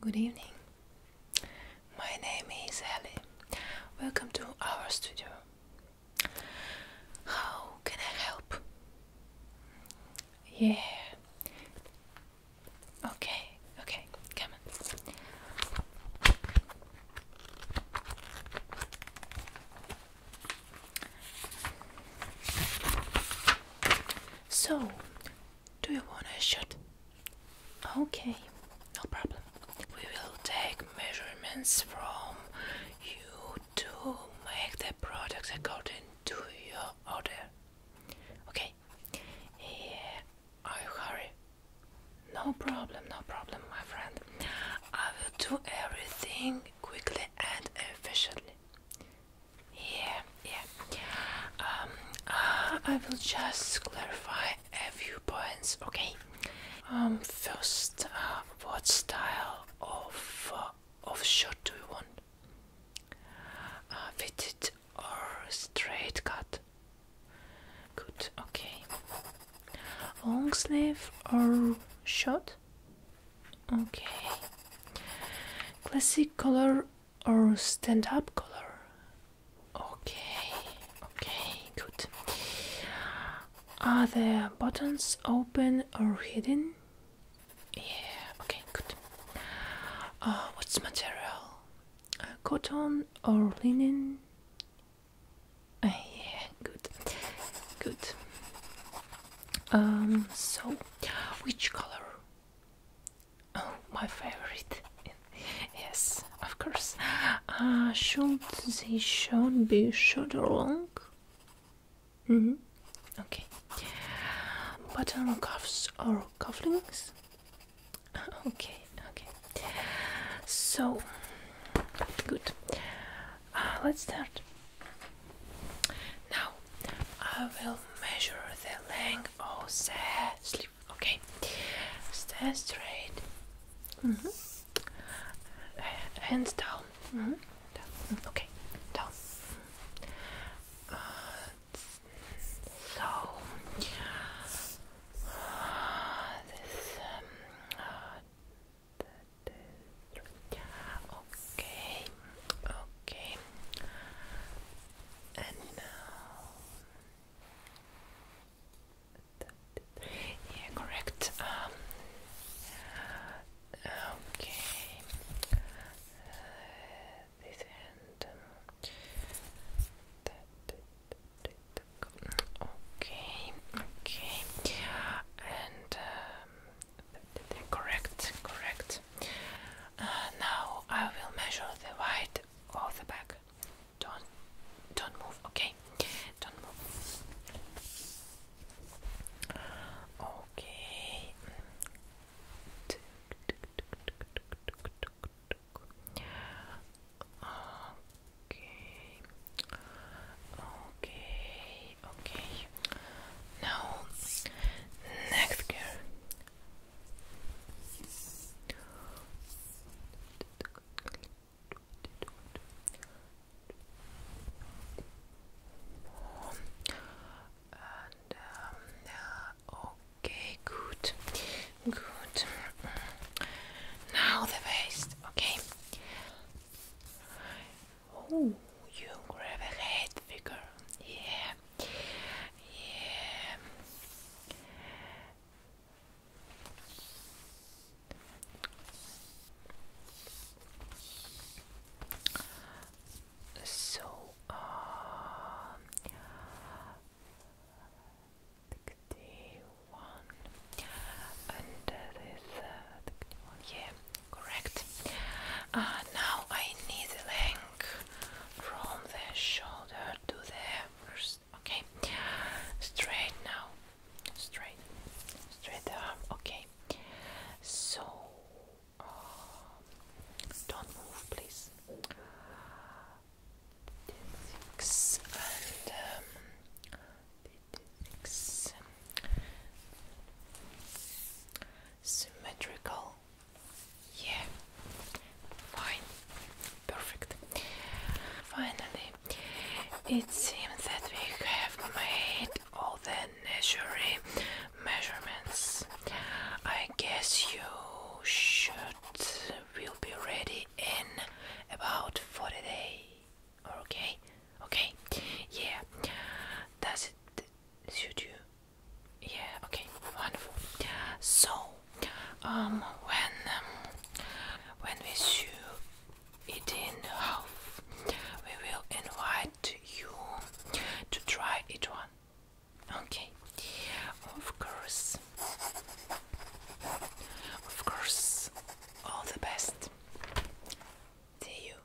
Good evening. My name is Ellie. Welcome to our studio. How can I help? Yeah. Okay, okay, come on. So, do you want a shot? Okay, no problem. We will take measurements from you to make the product according to your order. Okay. Yeah, I hurry. No problem, no problem, my friend. I will do everything quickly and efficiently. Yeah, yeah. Um, uh, I will just clarify a few points, okay? Um, first, uh, what style of uh, of shirt do you want? Uh, fitted or straight cut? Good. Okay. Long sleeve or short? Okay. Classic color or stand up color? Okay, okay, good. Are the buttons open or hidden? Yeah, okay, good. Uh, what's material? Uh, cotton or linen? Uh, yeah, good, good. Um, so, which color? Oh, my favorite. Yes, of course. Uh, should they should be shoulder long? Mm -hmm. Okay. Button cuffs or cufflinks? Okay, okay. So, good. Uh, let's start. Now, I will measure the length of the sleeve. Okay, stay straight. Mm-hmm. Uh, hands mm-hmm. down. Okay, down. Uh, so uh, this. Um, okay, okay. And now, yeah, correct. okay, this hand. okay, okay, and correct, correct. Uh, now I will measure the width of the back. Don't, don't move. Okay, don't move. Okay. Okay. Okay. Okay. Now, next gear. Um, okay, good, good. Now the waist, okay. Oh, you grab a head figure, yeah. Yeah. So, um, one under this, uh, yeah. Correct. Uh, now I need the length from the shoulder to the wrist. Okay. Straight now. Straight. Straight the arm. Okay. So uh, don't move, please. Six and six. Symmetrical yeah. Fine. Perfect. Finally, it seems that we have made all the necessary measurements. I guess you should will be ready in about 40 days. Okay? Okay? Yeah. Does it suit you? Yeah, okay, wonderful. So, um, when um, when we sew it in half, we will invite you to try it one. Okay, of course, of course, all the best. See you.